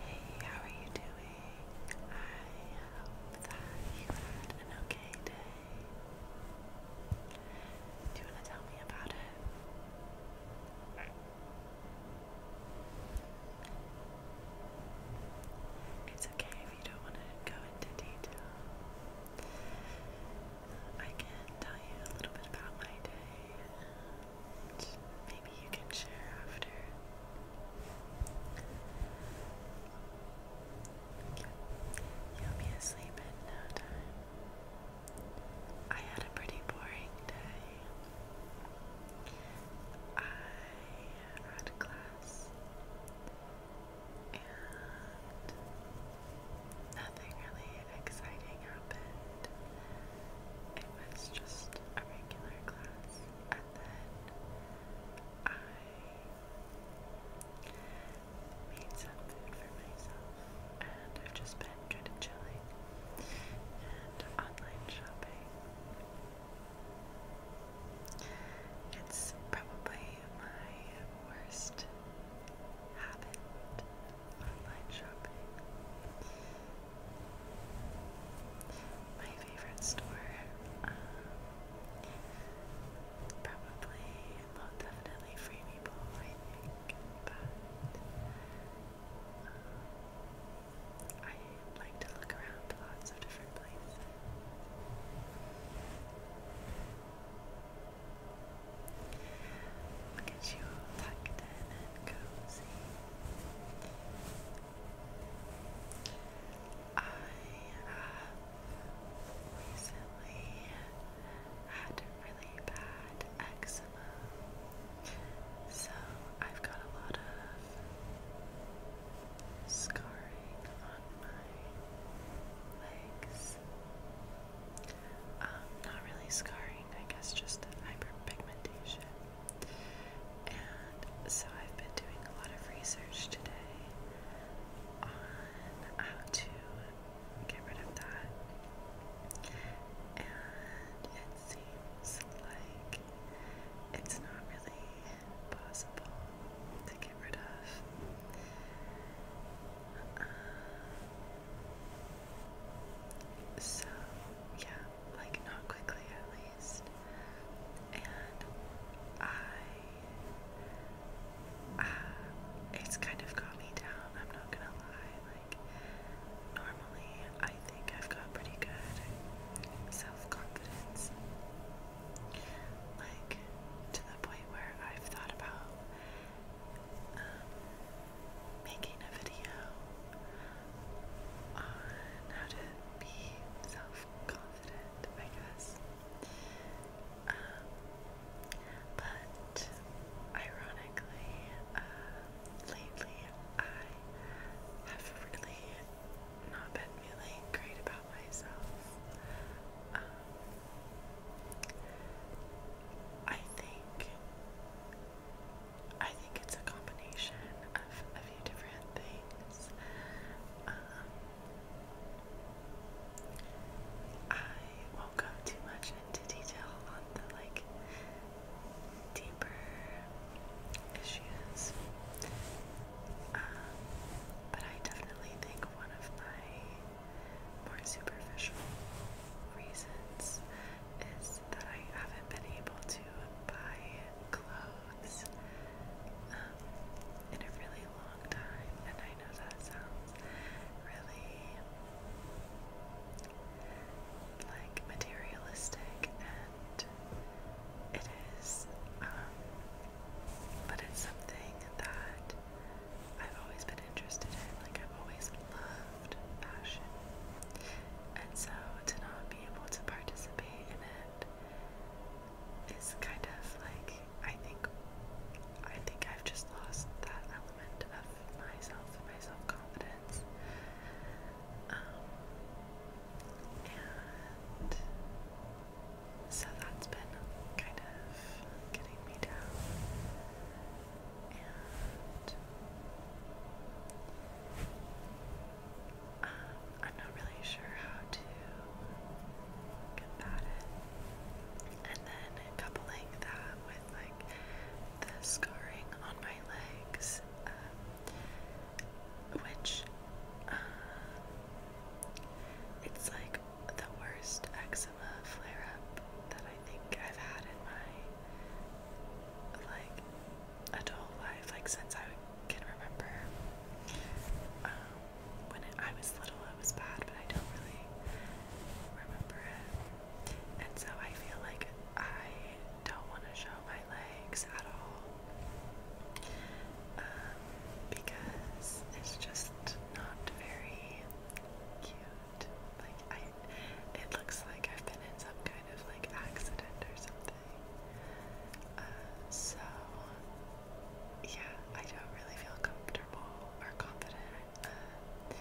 Hey, how are you doing? I hope that you had an okay day. Do you want to tell me about it? It's okay if you don't want to go into detail. I can tell you a little bit about my day maybe you can share after. You'll be asleep in no time. I had a pretty boring day. I had class and nothing really exciting happened it was just a regular class, and then I made some food for myself, and I've just been kind of chilling and online shopping. It's probably my worst habit, online shopping. My favorite store, um, probably, well, definitely Free People, I think, but um, I like to look around lots of different places. Look at you tucked in and cozy. I have recently had really bad eczema, so I've got a lot of scarring on my legs. not really scarring, I guess just hyperpigmentation. And so I've been doing a lot of research today on how to get rid of that. And it seems like it's not really possible to get rid of. Um, so, yeah, like not quickly at least. And I, uh, it's kind of got me down. I'm not gonna lie. Like normally, I think I've got pretty good self-confidence. Like to the point where I've thought about um, making a video on how to be self-confident, I guess. Um, but ironically, uh, lately I have really not been feeling great about myself. Um, I think I think it's a combination of a few different things. Um, I won't go too much into detail on the like deeper issues, um, but I definitely think one of my more superficial reasons is is that I haven't been able to buy clothes um, in a really long time, and I know that sounds really like materialistic, and it is, um, but it's something that I've always been interested in. Like I've always loved craft fashion. And so to not be able to participate in it is kind of like I think I think I've just lost that element of myself and my self-confidence. Um, and so that's been kind of getting me down. Um, I'm not really sure how to combat it. And then coupling that with like the scarring on my legs, um, which um, it's like the worst eczema flare up that I think I've had in my like adult life, like since I can remember. Um, when I was little, it was bad, but I don't really remember it. And so I feel like I don't want to show my legs at all um, because it's just not very cute. Like I, it looks like I've been in some kind of like accident or something. Uh, so yeah, I don't really feel comfortable or confident uh,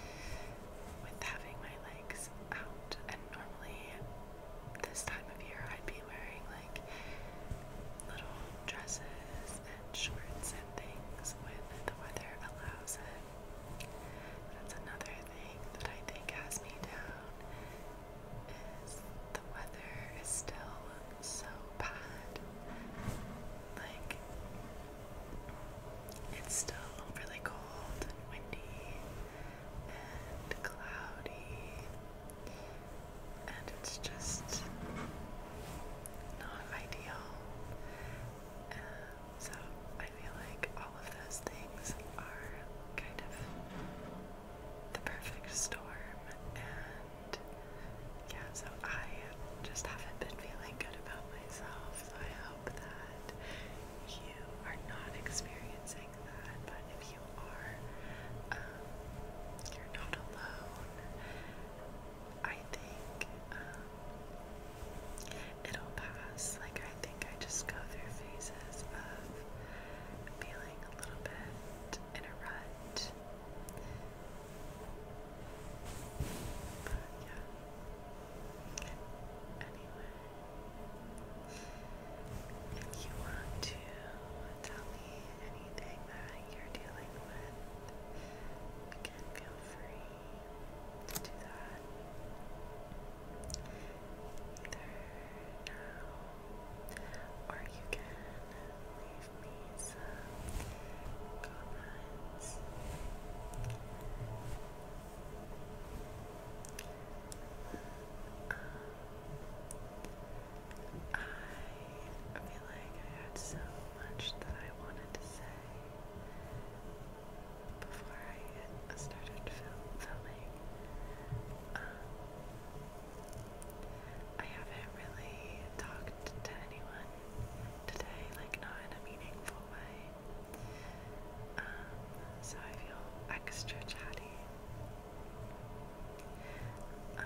with having my legs out. And normally, this time of year, I'd be wearing like little dresses and shorts and things when the weather allows it. That's another thing that I think has me down is the weather is still so bad. Like it's still really cold and windy and cloudy and it's just not ideal. So I feel like all of those things are kind of the perfect storm, and yeah, so I just haven't been feeling good about myself. So I hope that you are not experiencing that, but if you are, um, you're not alone. I think um, it'll pass. Like I think I just go through phases of feeling a little bit in a rut. yeah. Anyway, if you want to tell me anything that you're dealing with, again, feel free let Either now, or you can leave me some comments. Um, I feel like I had so much that I wanted to say before I started filming. Um, I haven't really talked to anyone today, like not in a meaningful way. Um, so I feel extra chatty. Um,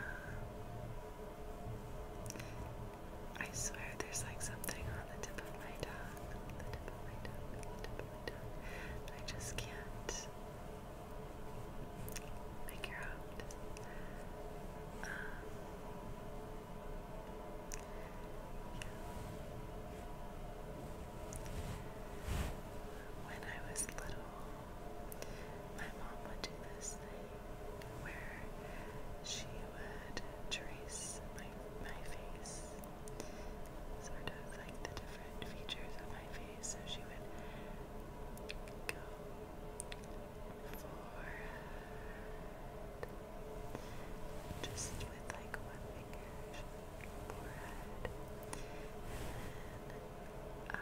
I swear there's like something on the tip of my tongue. The tip of my tongue, the tip of my tongue. I just can't figure out. When I was little, my mom would do this where she would trace my my face, sort of like the different features of my face. So she would go forehead, just with like one finger, forehead, and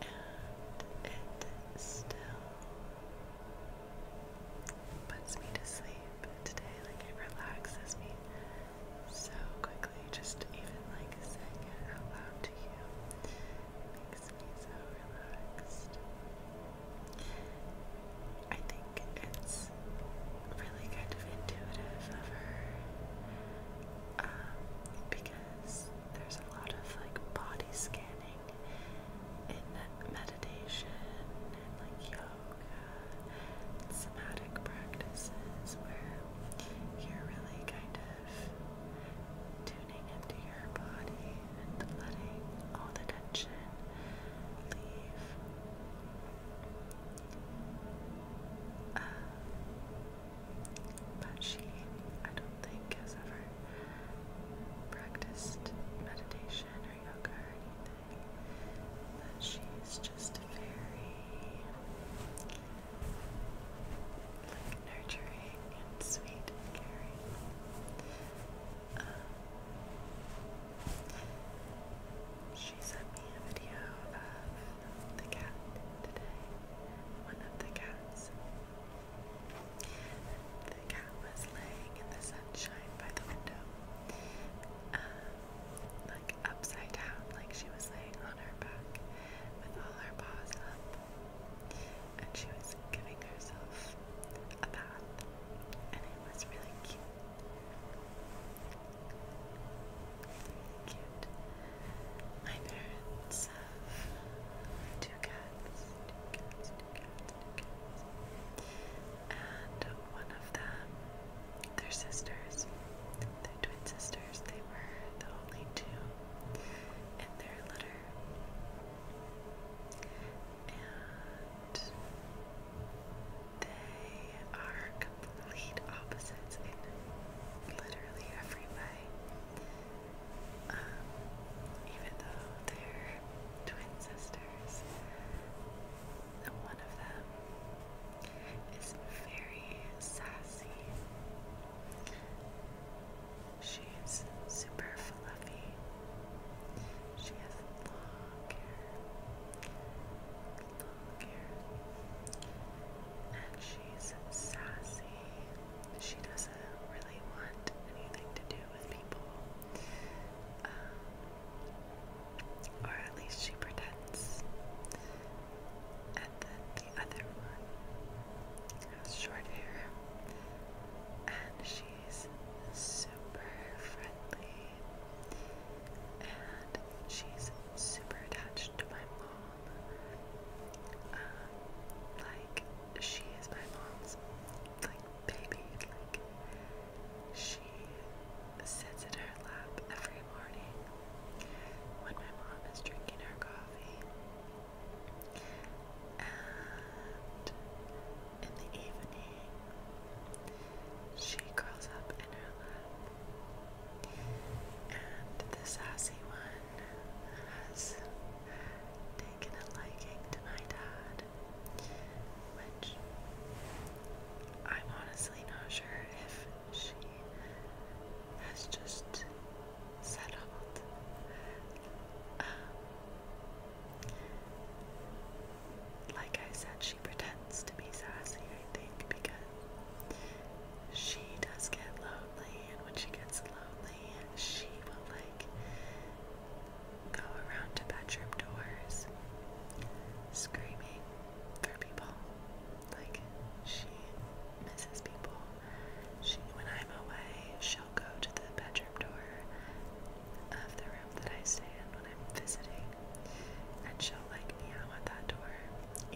and it still puts me to sleep today. Like it relaxes me so quickly. Just even like saying it out loud to you makes me so relaxed. I think it's really kind of intuitive of her um, because there's a lot of like body scanning in meditation and like yoga and somatic practices where you're really kind of tuning into your body and letting all the tension leave. Um, but she, I don't think, has ever practiced meditation or yoga or anything. But she's just very like nurturing and sweet and um, she sent me a video of the cat today. One of the cats. The cat was laying in the sunshine by the window, um, like upside down, like she was laying on her back with all her paws up, and she was giving herself a bath, and it was really cute. Cute. My parents have two cats, two cats, two cats, two cats. And one of them, their sisters, their twin sisters, they were the only two in their litter. And they are completely complete opposites in literally every way. Um, even though they're twin sisters, the one of them is very sassy. She's super fluffy. She has long hair, longer. And she's sassy. She doesn't really want anything to do with people. Um, or at least she pretends. And then the other one has short hair. And she's super friendly. And she's super attached to my mom like she is my mom's like baby. Like she sits in her lap every morning when my mom is drinking her coffee. And in the evening, she curls up in her lap and the sassy one has taken a liking to my dad, which I'm honestly not sure if she has just settled. Um, like I said, she pretends to be sassy, I think, because she does get lonely, and when she gets lonely, she will like go around to bedroom doors screaming for people. Like she misses people. She, when I'm away, she'll go to the bedroom door of the room that I stay in when I'm visiting, and she'll like meow at that door,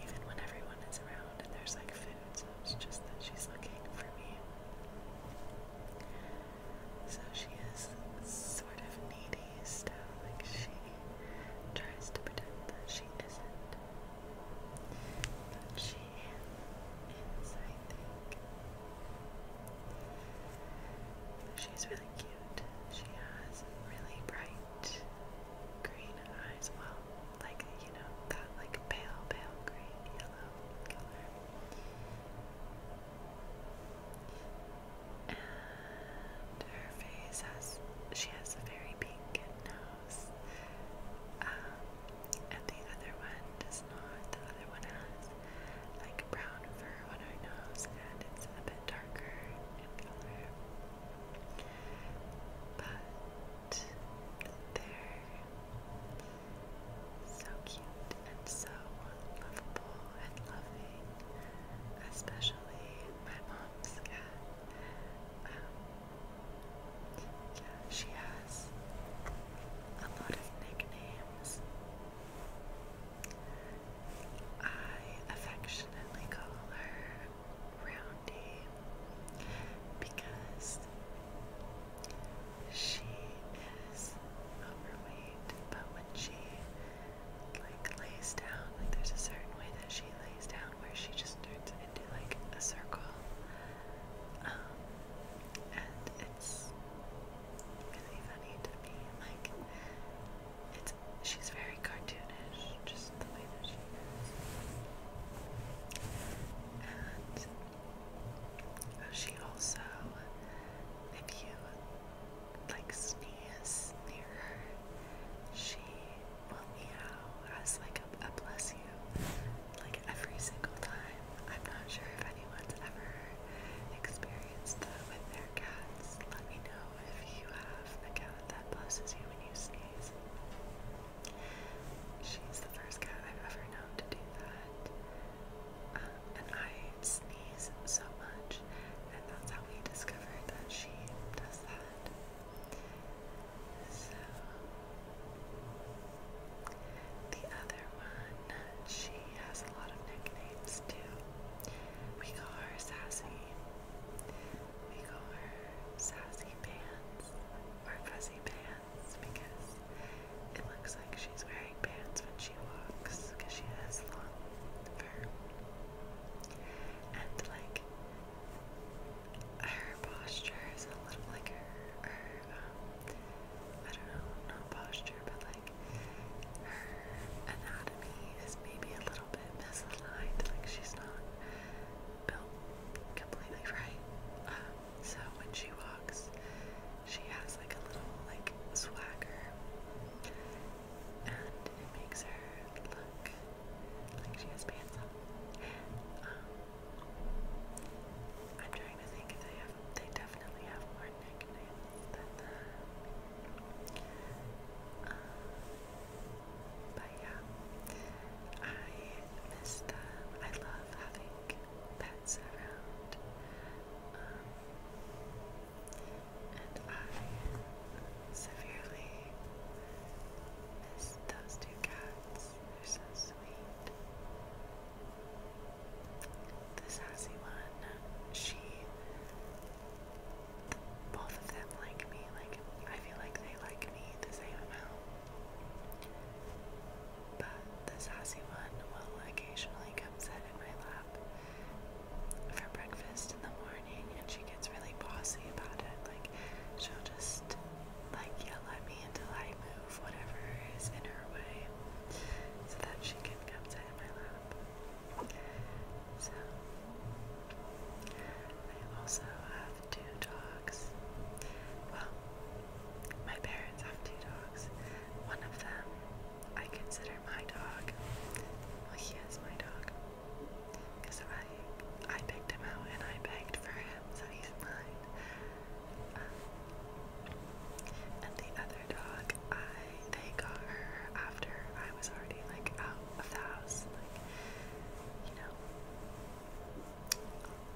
even when everyone is turns around and there's like food, so it's just that she's looking for me. So she is sort of needy still, like she tries to pretend that she isn't. But she is, I think. She's really cute. She has really bright green green well. Like, you know, that like pale, pale green, yellow color. And her face has, she has a very pink nose. Um, and the other one does not. The other one has like brown fur on her nose and it's a bit darker in color. But they're so cute and so lovable and loving, especially my mom's cat. Um, she has a lot of nicknames. I affectionately call her Roundy because she is overweight, but when she like lays down, like there's a certain way that she lays down where she just turns into like a circle. Um, and it's really funny to me, like it's she's very cartoonish, just the way that she is. And uh, she also, if you like sneeze near her, she will meow as like a, a bless you, like every single time. I'm not sure if anyone's ever experienced that with their cats. Let me know if you have of cat that blesses you when you sneeze. She's the first cat I've ever known to do that. Um, and I sneeze so much, and that's how we discovered that she does that. So, the other one, she has a lot of nicknames too. We call her Sassy we call her Sassy Pants or Fuzzy Pants because it looks like she's wearing pants when she walks because she has long fur. And like her posture is a little like her, her um, I don't know, not posture, but like her anatomy is maybe a little little misaligned, like she's not built completely right. Um, so when she walks, she has like a little like swagger, and it makes her look like she has pants on. Um, I'm trying to think if they have. They definitely have more nicknames than that. Um, but yeah, I miss them. I love having pets around. Um, and I severely miss those two cats. They're so sweet. The sassy one, she both of them like me. Like, I feel like they like me the same amount. But the sassy one will occasionally come sit in my lap for breakfast in the morning and she gets really bossy about it. Like, she'll just like yell at me until I move whatever is in her way so that she can come sit in my lap. So, I also have two dogs. Well, my parents have two dogs. One of them I consider my dog. Well, he is my dog. Because I, I picked him out and I begged for him, so he's mine. Um, and the other dog I they got her after I was already like out of the house, like you know,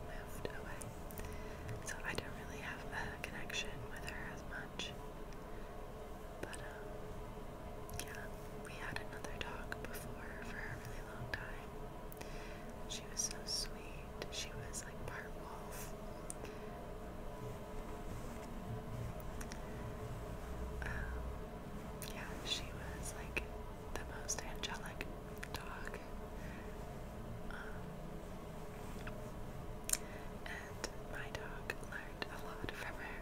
moved away. So I don't really have a connection with her as much. But um, yeah, we had another dog before for a really long time. She was so sweet. She was like part wolf. Um, yeah, she was like the most angelic dog. Um, and my dog learned a lot from her.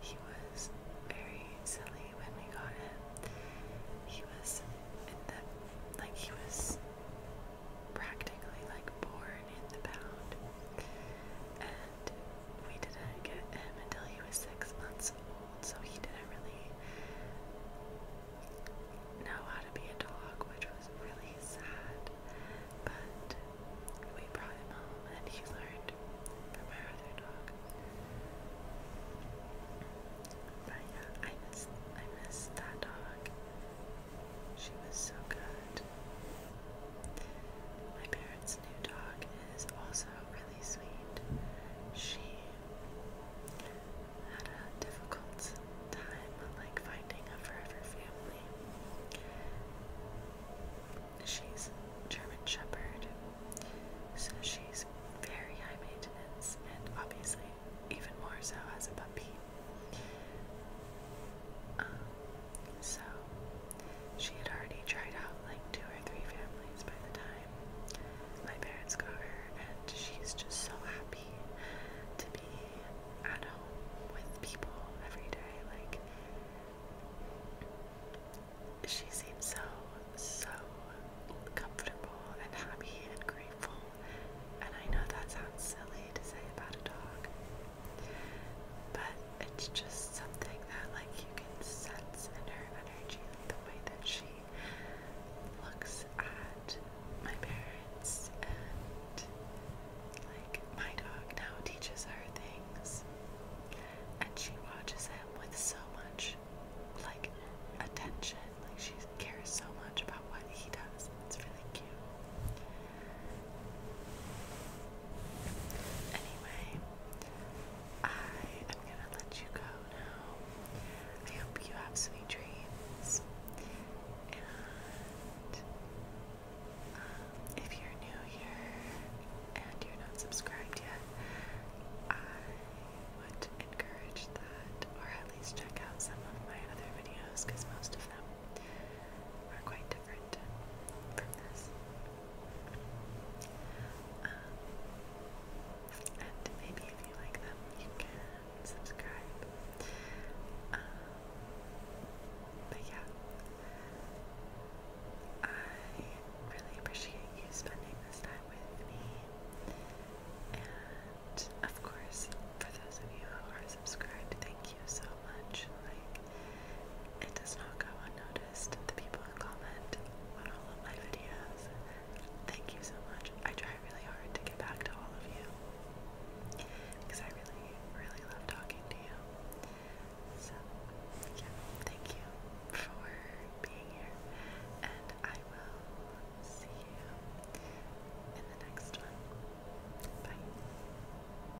He was very silly when we got him. He was in the like he was practically like born in the pound we didn't get him until he was six months old, so he didn't really know how to be a dog, which was really sad. But we brought him home and he learned from our other dog. But yeah, I miss I miss that dog. She was so good. My parents Jared's new dog is also really sweet. She had a difficult time like finding a forever family. She's German Shepherd, so she's very high maintenance and obviously even more so as a puppy. Um, so she had already tried out like two or three families by the time my parents got her, and she's just so happy to be at home with people every day. Like, she seems so, so comfortable and happy and grateful. And I know that sounds silly to say about a dog, but it's just something that like you can sense in her energy, like the way that she looks at my parents and like my dog now teaches her things and she watches him with so much like attention. Like she cares so much about what he does. It's really cute. Anyway, I am gonna let you go now. I hope you have sweet dreams. And um, if you're new here and you're not subscribed yet, I would encourage that, or at least check out some of my other videos most of them are quite different from this. Um, and maybe if you like them, you can subscribe. Um, but yeah, I really appreciate you spending this time with me. And of course, for those of you who are subscribed, thank you so much. Like, it does not go unnoticed. The people who comment on all of my videos, thank you so much. I try really hard to get back to all of you because I really, really love talking to you. So, yeah, thank you for being here, and I will see you in the next one. Bye.